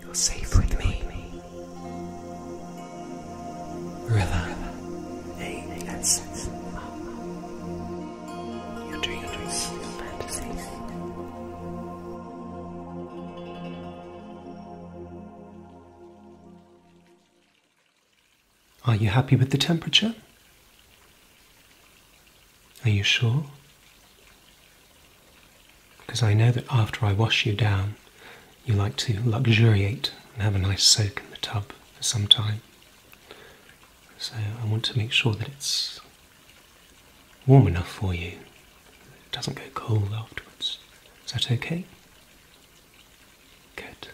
You're safe with me. River. Hey, that's your dreams, fantasies. Are you happy with the temperature? Are you sure? Because I know that after I wash you down, you like to luxuriate and have a nice soak in the tub for some time. So I want to make sure that it's warm enough for you. It doesn't go cold afterwards. Is that okay? Good.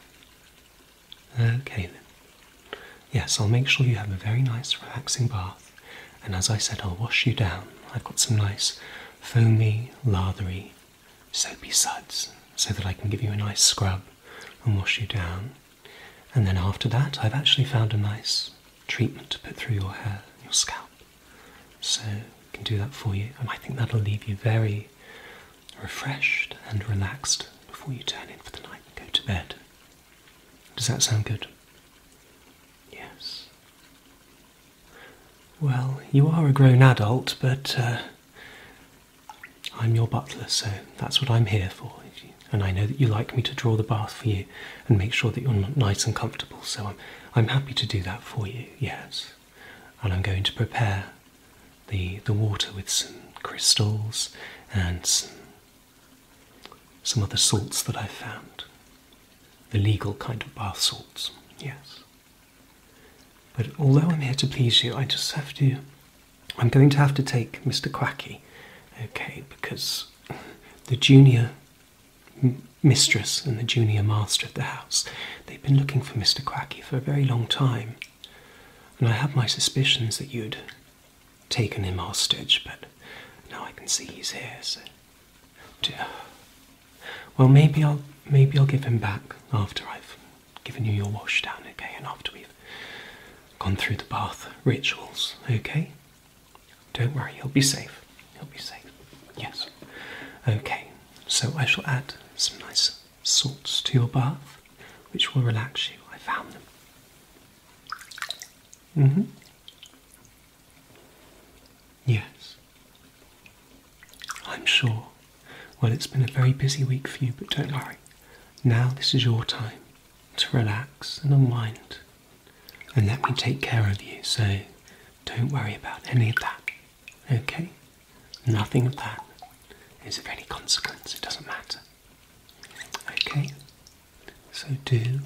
Okay then. Yes, I'll make sure you have a very nice relaxing bath and as I said, I'll wash you down. I've got some nice foamy, lathery, soapy suds so that I can give you a nice scrub and wash you down. And then after that, I've actually found a nice treatment to put through your hair, your scalp. So I can do that for you, and I think that'll leave you very refreshed and relaxed before you turn in for the night and go to bed. Does that sound good? Yes. Well, you are a grown adult, but uh, I'm your butler, so that's what I'm here for. And I know that you like me to draw the bath for you and make sure that you're nice and comfortable, so I'm, I'm happy to do that for you, yes. And I'm going to prepare the, the water with some crystals and some some other salts that I found. The legal kind of bath salts, yes. But although I'm here to please you, I just have to. I'm going to have to take Mr. Quackey, okay, because the junior mistress and the junior master of the house, they've been looking for Mr. Quackey for a very long time. And I have my suspicions that you'd taken him hostage, but now I can see he's here, Well, maybe I'll maybe I'll give him back after I've given you your wash down, okay, and after we've gone through the bath rituals, okay? Don't worry, he'll be safe. He'll be safe. Yes. Okay, so I shall add some nice salts to your bath, which will relax you. I found them. hmm Yes. I'm sure. Well, it's been a very busy week for you, but don't worry. Now this is your time to relax and unwind. And let me take care of you, so don't worry about any of that. Okay? Nothing of that is of any consequence, it doesn't matter. Okay? So do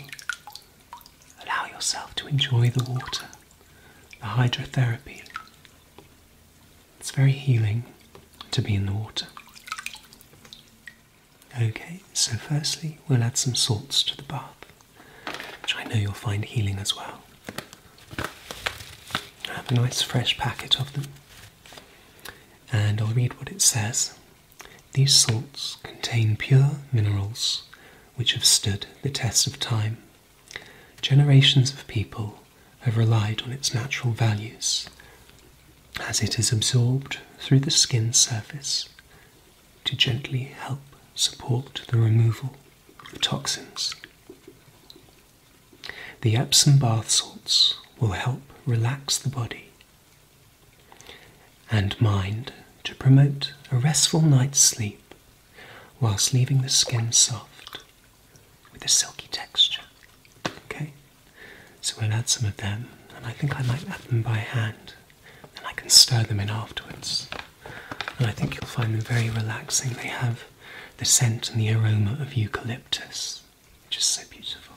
allow yourself to enjoy the water, the hydrotherapy. It's very healing to be in the water. Okay, so firstly, we'll add some salts to the bath, which I know you'll find healing as well. I have a nice fresh packet of them, and I'll read what it says these salts contain pure minerals which have stood the test of time. Generations of people have relied on its natural values as it is absorbed through the skin surface to gently help support the removal of toxins. The Epsom bath salts will help relax the body and mind to promote a restful night's sleep whilst leaving the skin soft with a silky texture. Okay, so we'll add some of them, and I think I might add them by hand, and I can stir them in afterwards. And I think you'll find them very relaxing. They have the scent and the aroma of eucalyptus, which is so beautiful.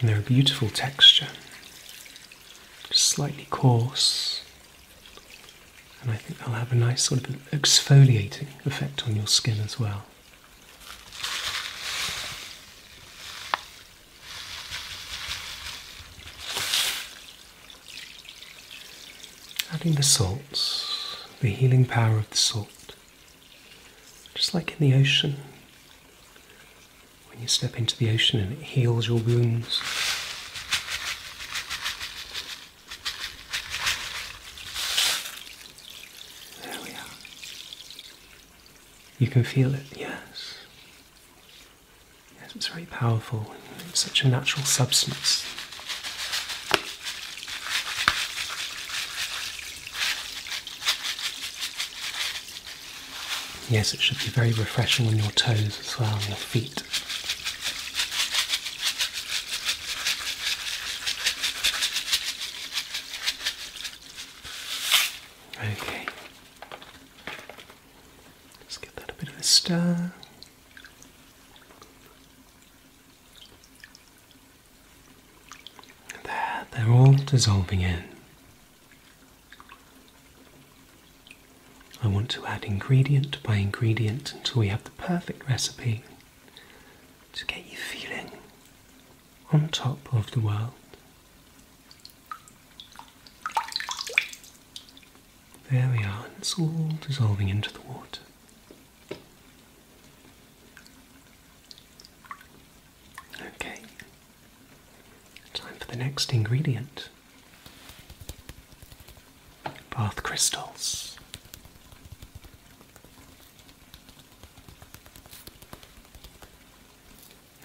And they're a beautiful texture, slightly coarse, and I think they'll have a nice sort of exfoliating effect on your skin as well. Adding the salts, the healing power of the salt. Just like in the ocean, when you step into the ocean and it heals your wounds. There we are. You can feel it, yes. Yes, it's very powerful. It's such a natural substance. Yes, it should be very refreshing on your toes as well, on your feet. Okay, just give that a bit of a stir. There, they're all dissolving in. I want to add ingredient by ingredient until we have the perfect recipe to get you feeling on top of the world. There we are, it's all dissolving into the water. Okay, time for the next ingredient bath crystals.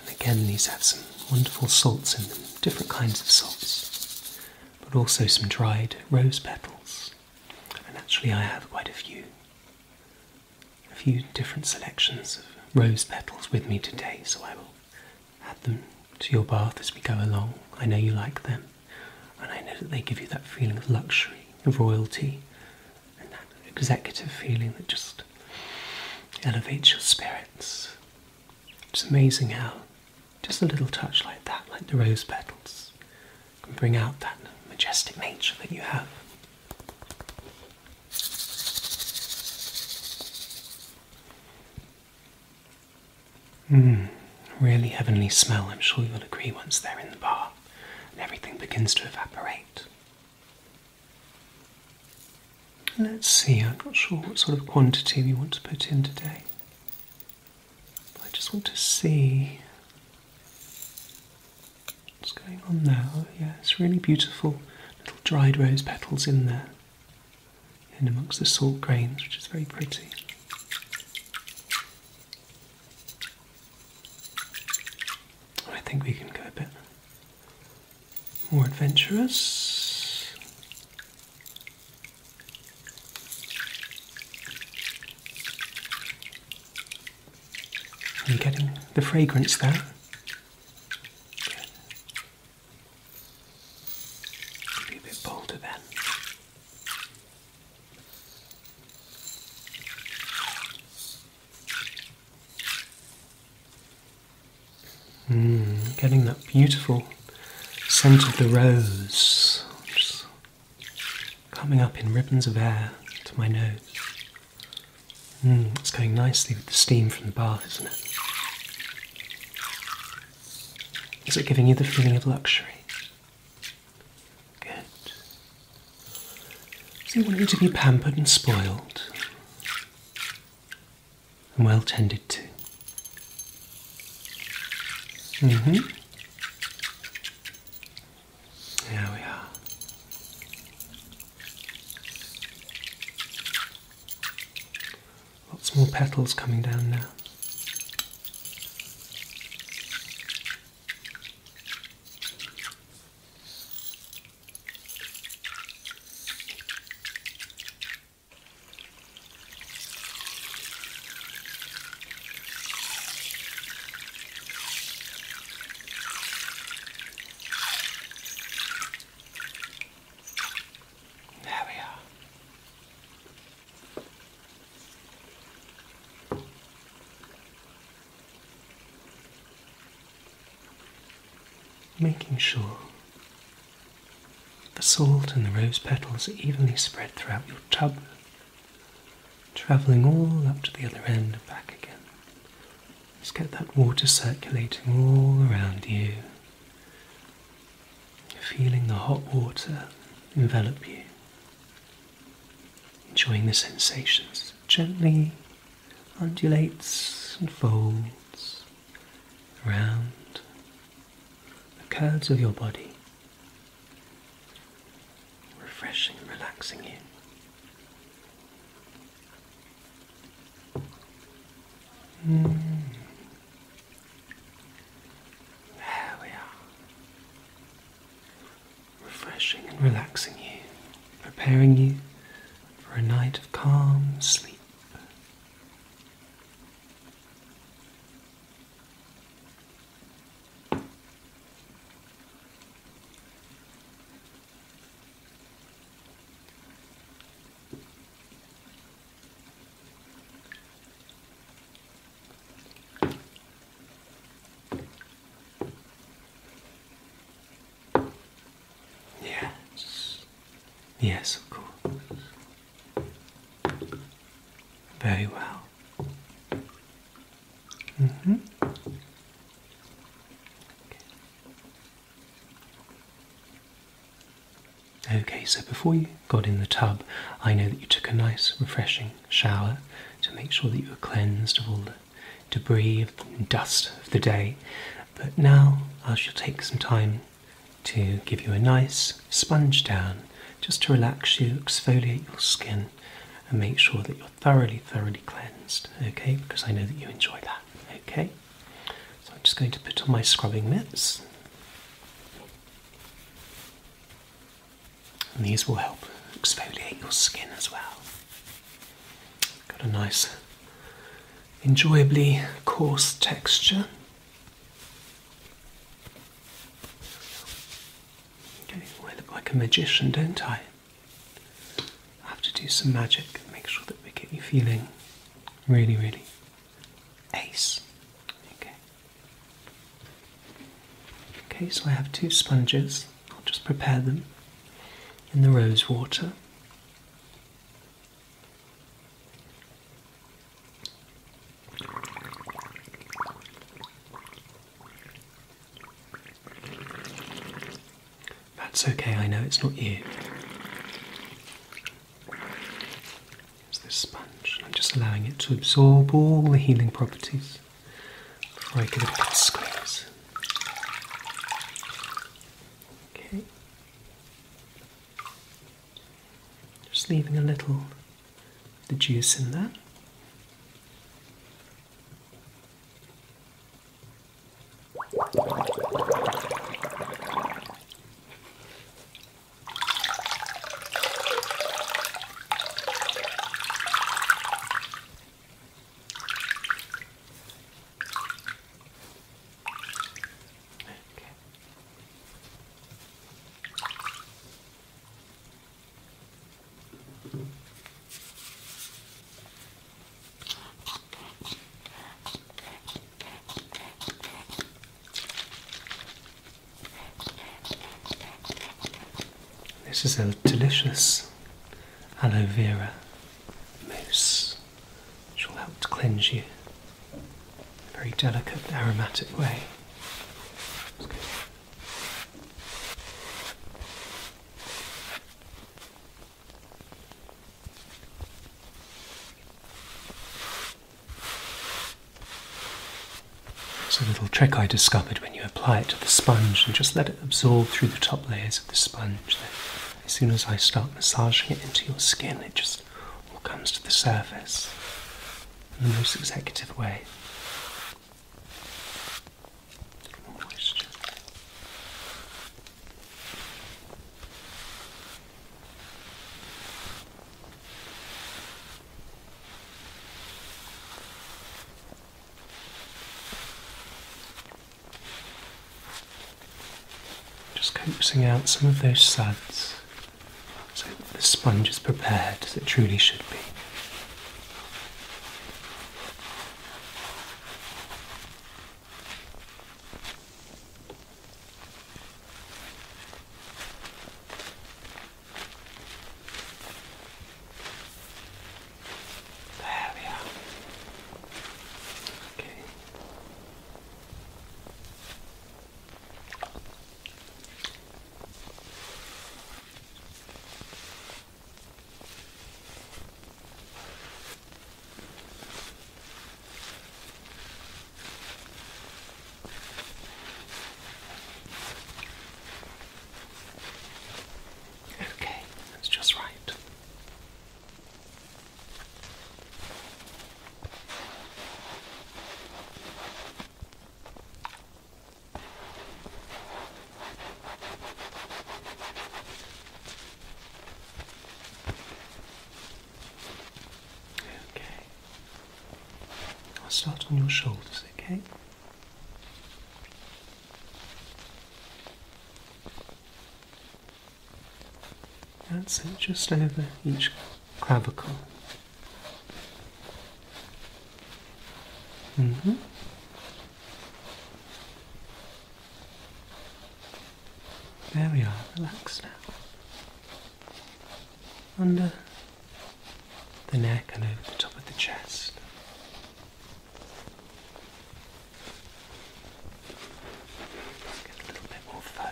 And again, these have some wonderful salts in them, different kinds of salts, but also some dried rose petals and actually I have quite a few a few different selections of rose petals with me today, so I will add them to your bath as we go along. I know you like them, and I know that they give you that feeling of luxury, of royalty, and that executive feeling that just elevates your spirits. It's amazing how just a little touch like that, like the rose petals, and bring out that majestic nature that you have. Hmm, really heavenly smell, I'm sure you'll agree once they're in the bar, and everything begins to evaporate. Let's see, I'm not sure what sort of quantity we want to put in today. I just want to see what's going on now. Yeah, it's really beautiful little dried rose petals in there, and amongst the salt grains, which is very pretty. I think we can go a bit more adventurous. Are you getting the fragrance there? Be a bit bolder then. Mm, getting that beautiful scent of the rose coming up in ribbons of air to my nose. Hmm, it's going nicely with the steam from the bath, isn't it? Is it giving you the feeling of luxury? Good. So you want you to be pampered and spoiled and well tended to. Mm-hmm. There we are. Lots more petals coming down now. There we are. Making sure the salt and the rose petals are evenly spread throughout your tub travelling all up to the other end and back again. Just get that water circulating all around you, feeling the hot water envelop you, enjoying the sensations. Gently undulates and folds around the curves of your body refreshing and relaxing you. Mm. we are. Refreshing and relaxing you, preparing you for a night of calm sleep. Yes. Yes, of course. Very well. Mm-hmm. okay, so before you got in the tub, I know that you took a nice, refreshing shower to make sure that you were cleansed of all the debris and dust of the day. But now I shall take some time to give you a nice sponge down just to relax you, exfoliate your skin and make sure that you're thoroughly, thoroughly cleansed, okay? Because I know that you enjoy that, okay? So I'm just going to put on my scrubbing mitts. And these will help exfoliate your skin as well. Got a nice, enjoyably coarse texture. I look like a magician, don't I? I have to do some magic, and make sure that we get you feeling really, really ace. Okay. Okay, so I have two sponges. I'll just prepare them in the rose water. That's okay, I know it's not you. It's this sponge. I'm just allowing it to absorb all the healing properties before I give it a good squeeze. Okay. Just leaving a little the juice in there. Okay. This is a delicious aloe vera mousse, which will help to cleanse you in a very delicate, aromatic way. It's a little trick I discovered when you apply it to the sponge and just let it absorb through the top layers of the sponge. Then as soon as I start massaging it into your skin, it just all comes to the surface in the most executive way. Just coaxing out some of those suds so that the sponge is prepared as it truly should be. There we are. Okay. Okay, that's just right. Okay. I'll start on your shoulders, okay? That's it, just over each clavicle. Mm-hmm. There we are, relax now. Under the neck and over the top of the chest. get a little bit more foam.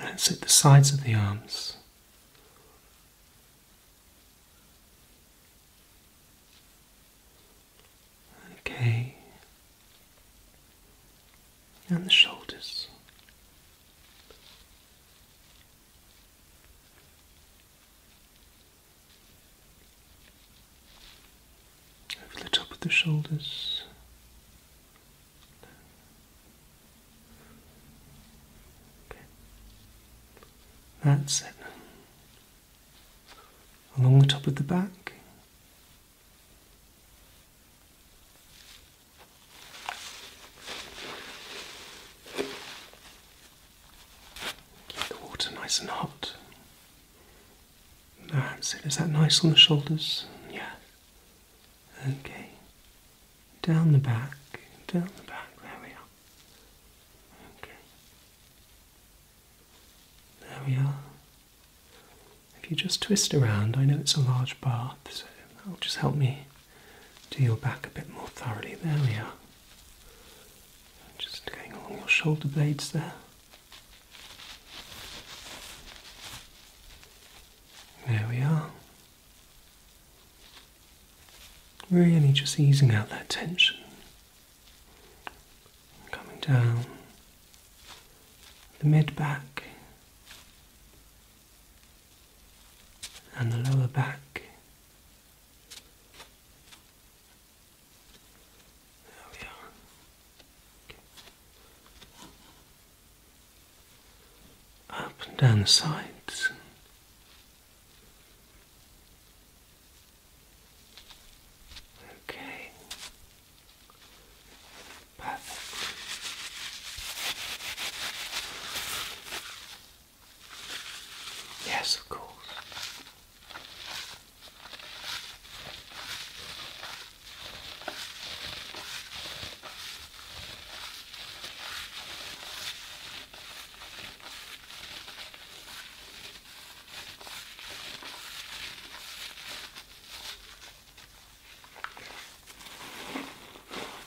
And it's at the sides of the arms. Okay, and the shoulders. Over the top of the shoulders. Okay. That's it. Along the top of the back. Keep the water nice and hot. That's it. Is that nice on the shoulders? Yeah. Okay. Down the back. Down the back. There we are. Okay. There we are. If you just twist around, I know it's a large bath, so that'll just help me do your back a bit more thoroughly. There we are. Just going along your shoulder blades there. There we are. Really just easing out that tension. Coming down the mid back and the lower back. There we are. Up and down the sides. Okay. Perfect. Yes, of course.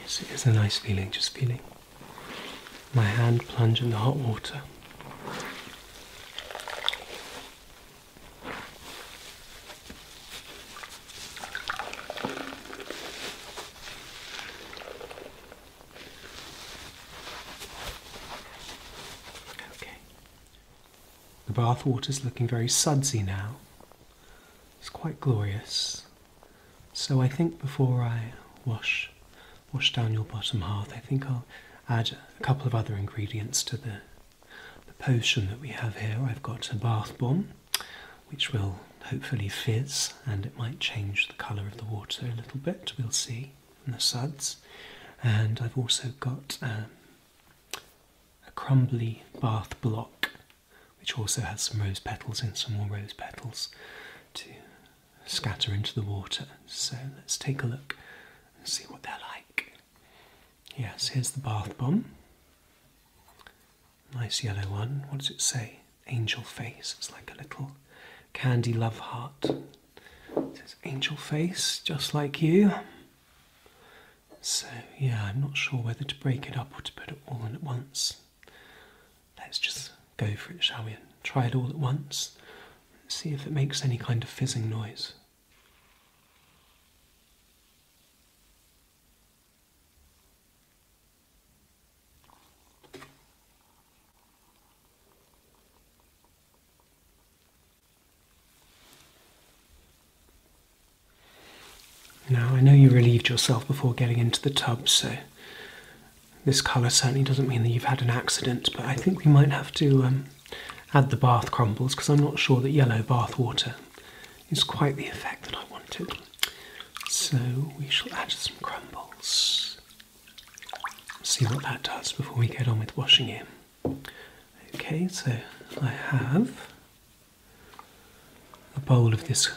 Yes, it is a nice feeling, just feeling my hand plunge in the hot water. Okay. The bath water's looking very sudsy now. It's quite glorious. So I think before I wash wash down your bottom half, I think I'll add a couple of other ingredients to the the potion that we have here. I've got a bath bomb, which will hopefully fizz and it might change the colour of the water a little bit. We'll see in the suds. And I've also got um, a crumbly bath block, which also has some rose petals and some more rose petals to scatter into the water. So let's take a look and see what they're like. Yes, here's the bath bomb. Nice yellow one. What does it say? Angel face. It's like a little candy love heart. It says angel face, just like you. So, yeah, I'm not sure whether to break it up or to put it all in at once. Let's just go for it, shall we? try it all at once. see if it makes any kind of fizzing noise. Now, I know you relieved yourself before getting into the tub, so this colour certainly doesn't mean that you've had an accident, but I think we might have to um, add the bath crumbles because I'm not sure that yellow bath water is quite the effect that I wanted. So we shall add some crumbles. See what that does before we get on with washing him. Okay, so I have a bowl of this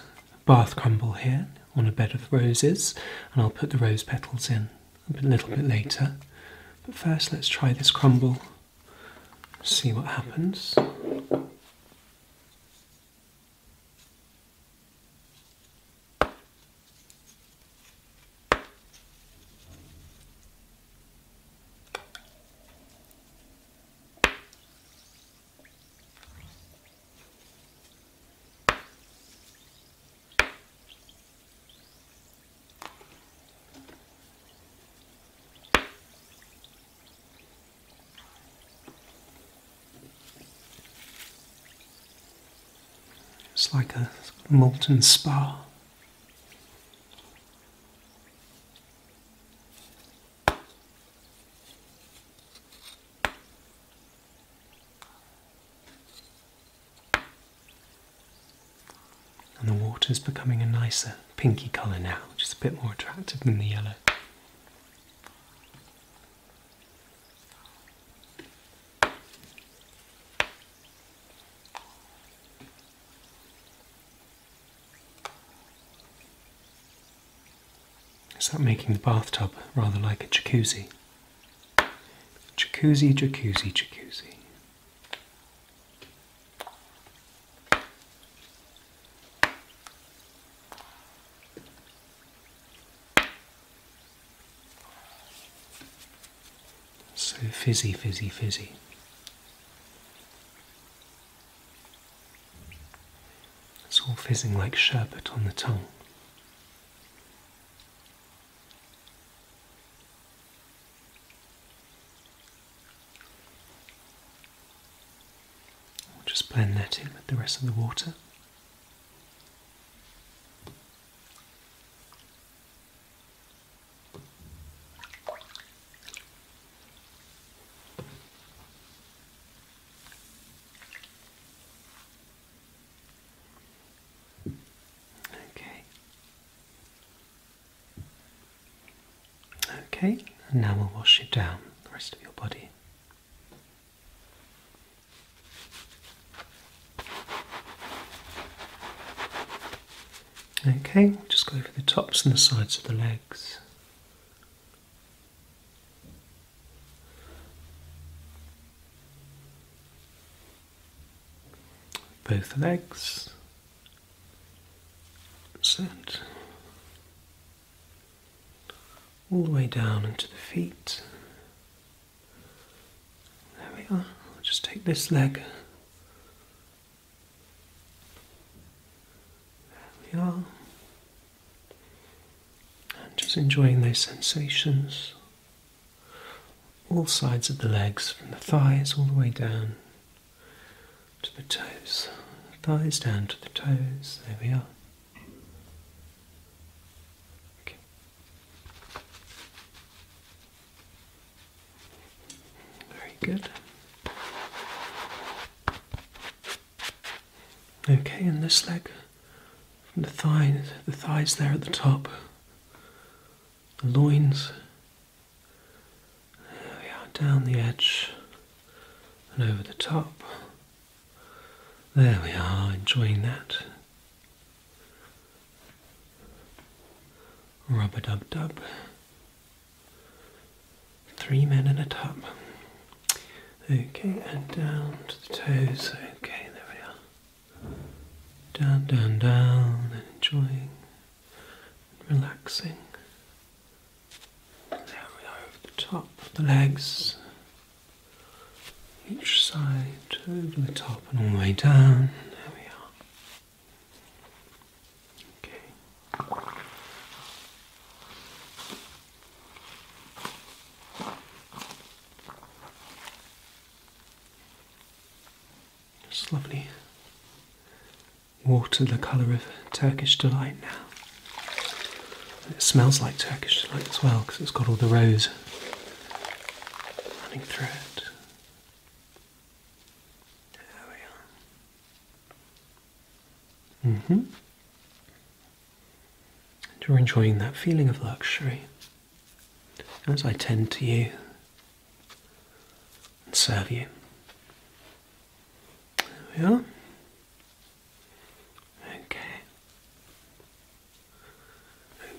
bath crumble here on a bed of roses, and I'll put the rose petals in a little bit later. But first, let's try this crumble, see what happens. It's like a molten spa. And the water is becoming a nicer pinky colour now, which is a bit more attractive than the yellow. Is that making the bathtub rather like a jacuzzi? Jacuzzi, jacuzzi, jacuzzi. So fizzy, fizzy, fizzy. It's all fizzing like sherbet on the tongue. just blend that in with the rest of the water. Okay. Okay, and now we'll wash it down the rest of your body. Okay, just go over the tops and the sides of the legs. Both legs. Set. All the way down into the feet. There we are. just take this leg there we are. And just enjoying those sensations. All sides of the legs, from the thighs all the way down to the toes. Thighs down to the toes. There we are. Okay. Very good. Okay, and this leg from the thighs, the thighs there at the top, the loins. There we are, down the edge and over the top. There we are, enjoying that. Rub a dub dub. Three men in a tub. Okay, and down to the toes. Okay, there we are. Down, down, down, and enjoying, relaxing. There we are over the top of the legs. Each side over the top and all the way down. There we are. Okay. Just lovely water the colour of Turkish delight now. It smells like Turkish delight as well because it's got all the rose running through it. There we are hmm. And you're enjoying that feeling of luxury, as I tend to you and serve you. There we are. Okay.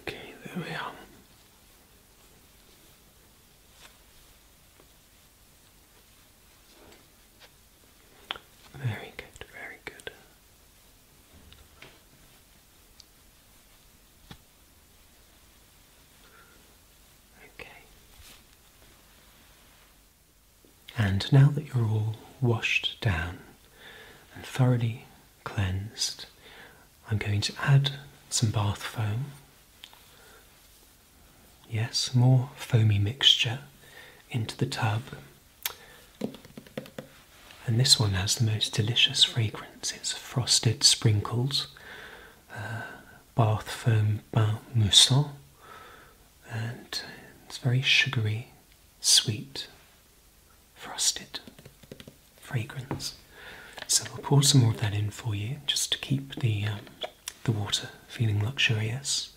Okay, there we are. Very good, very good. Okay. And now that you're all washed down and thoroughly cleansed, I'm going to add some bath foam Yes, more foamy mixture into the tub. And this one has the most delicious fragrance. It's frosted sprinkles, uh, bath foam bain moussant, and it's very sugary, sweet, frosted fragrance. So I'll pour some more of that in for you just to keep the um, the water feeling luxurious.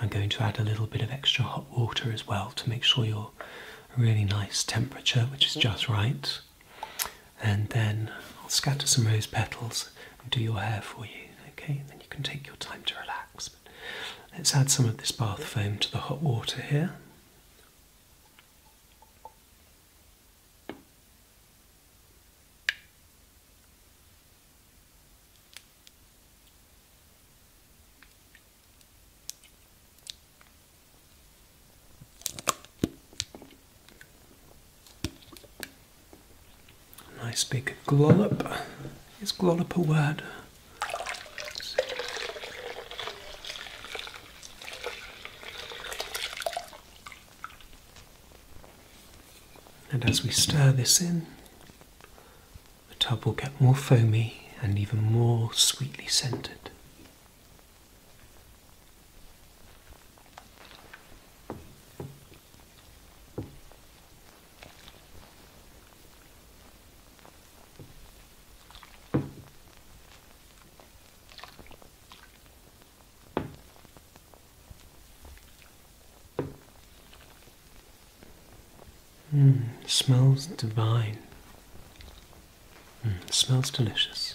I'm going to add a little bit of extra hot water as well to make sure you're really nice temperature, which is mm-hmm. just right. And then I'll scatter some rose petals and do your hair for you. Okay, then you can take your time to relax. let's add some of this bath foam to the hot water here. I speak a glollop. Is glollop a word? And as we stir this in, the tub will get more foamy and even more sweetly scented. Hmm, smells divine. Hmm, smells delicious.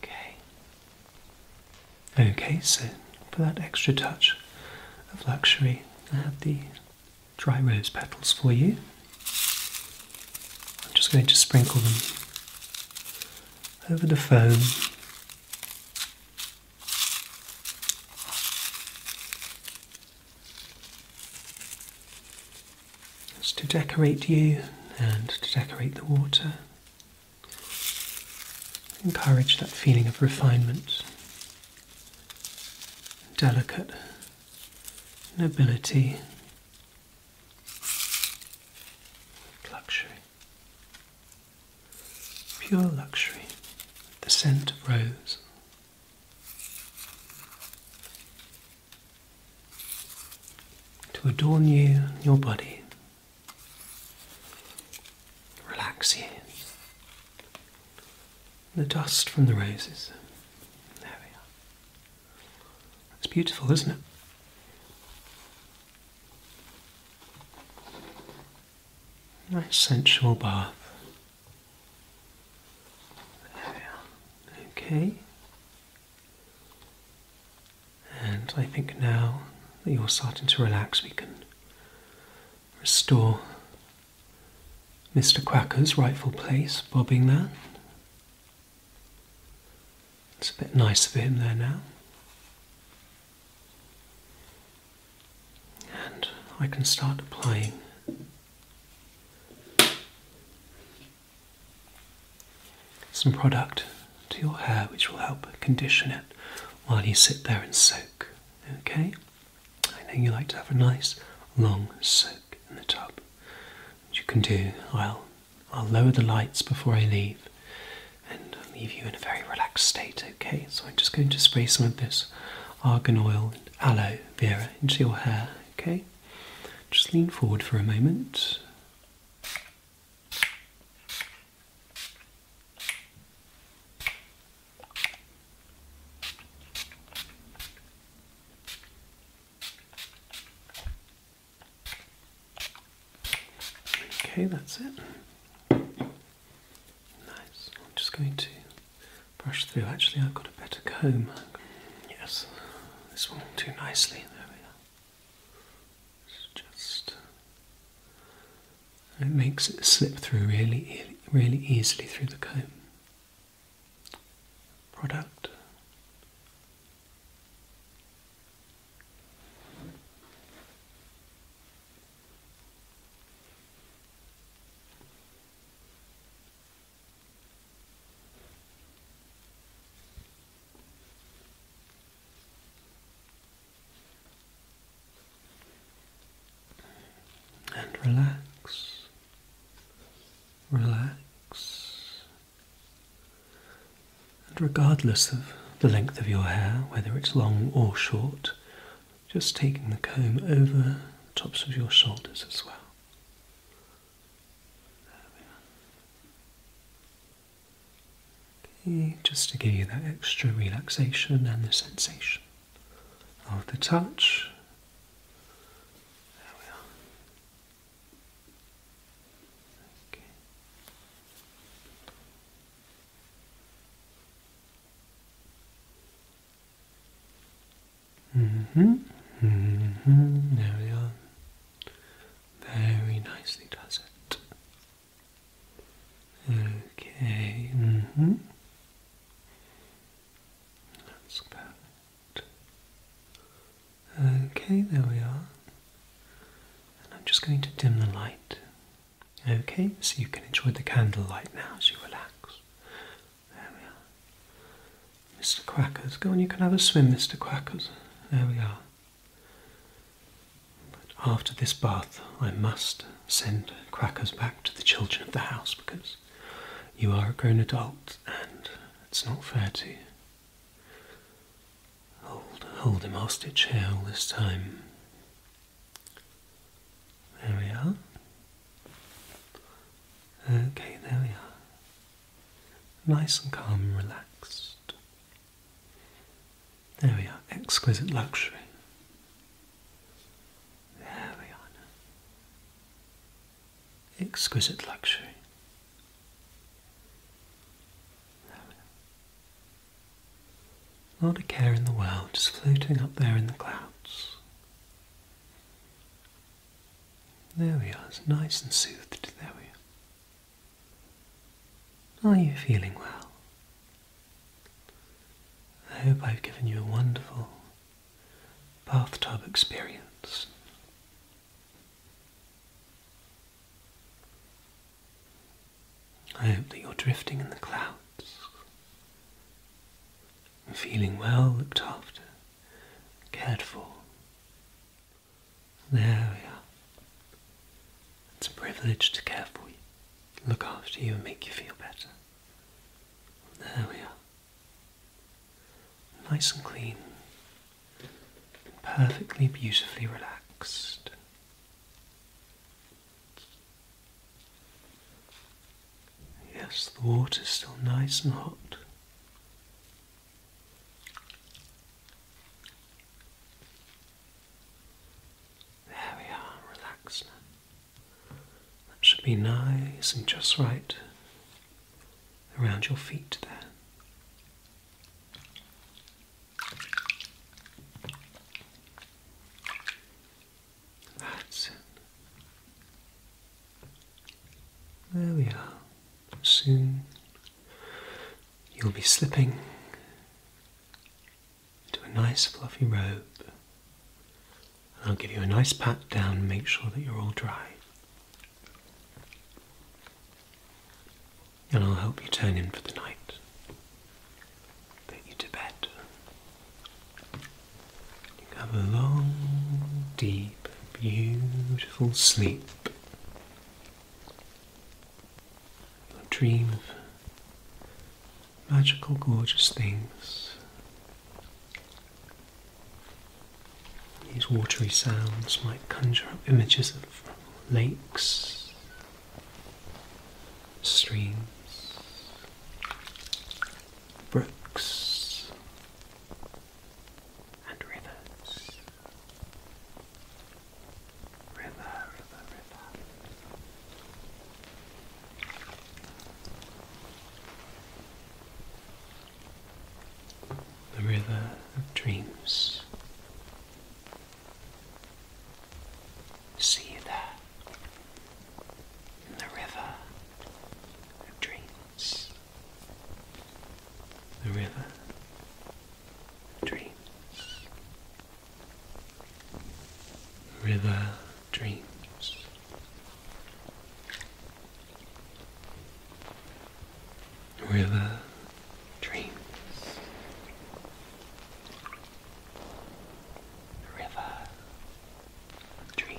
Okay. Okay, so for that extra touch of luxury, I have the dry rose petals for you. I'm just going to sprinkle them over the foam that's to decorate you and to decorate the water. Encourage that feeling of refinement, delicate nobility, luxury. Pure luxury, the scent of rose. To adorn you and your body, relax you. The dust from the roses. There we are. It's beautiful, isn't it? Nice sensual bath. Okay. And I think now that you're starting to relax, we can restore Mr. Quacker's rightful place, bobbing that. It's a bit nicer for him there now and I can start applying some product to your hair which will help condition it while you sit there and soak. Okay? I know you like to have a nice long soak in the tub. Which you can do, I'll I'll lower the lights before I leave and leave you in a very relaxed state, okay? So I'm just going to spray some of this argan oil and aloe vera into your hair, okay? Just lean forward for a moment. Okay, that's it. Nice. I'm just going to brush through. Actually, I've got a better comb. Yes, this one too nicely. There we go. It's just. It makes it slip through really, really easily through the comb. Product and relax, relax, and regardless of the length of your hair, whether it's long or short, just taking the comb over the tops of your shoulders as well. Okay, just to give you that extra relaxation and the sensation of the touch. There we are. Okay. Mm-hmm. Mm-hmm. There we are. Very nicely does it. Okay. Mm-hmm. That's perfect. Okay, there we are. And I'm just going to dim the light Okay, so you can enjoy the candlelight now as you relax. There we are. Mr. Quackers, go on, you can have a swim, Mr. Quackers. There we are. But after this bath, I must send Quackers back to the children of the house because you are a grown adult and it's not fair to you. Hold, hold him hostage here all this time. There we are. Okay, there we are. Nice and calm relaxed. There we are, exquisite luxury. There we are. Exquisite luxury. There we are. Not a care in the world, just floating up there in the clouds. There we are, nice and soothed, there we are. Are you feeling well? I hope I've given you a wonderful bathtub experience. I hope that you're drifting in the clouds, and feeling well looked after, cared for. There we are. It's a privilege to care for you, look after you, and make you feel better. There we are. Nice and clean, perfectly beautifully relaxed. Yes, the water's still nice and hot. There we are, relax now. That should be nice and just right around your feet there. That's it. There we are. Soon you'll be slipping into a nice fluffy robe. And I'll give you a nice pat down and make sure that you're all dry. And I'll help you turn in for the night. Get you to bed. You can have a long, deep, beautiful sleep. you dream of magical, gorgeous things. These watery sounds might conjure up images of lakes streams, brooks, and rivers. River, river, river. The river of dreams. See you there in the river of dreams. The river dreams. river dreams. river dreams river, tree.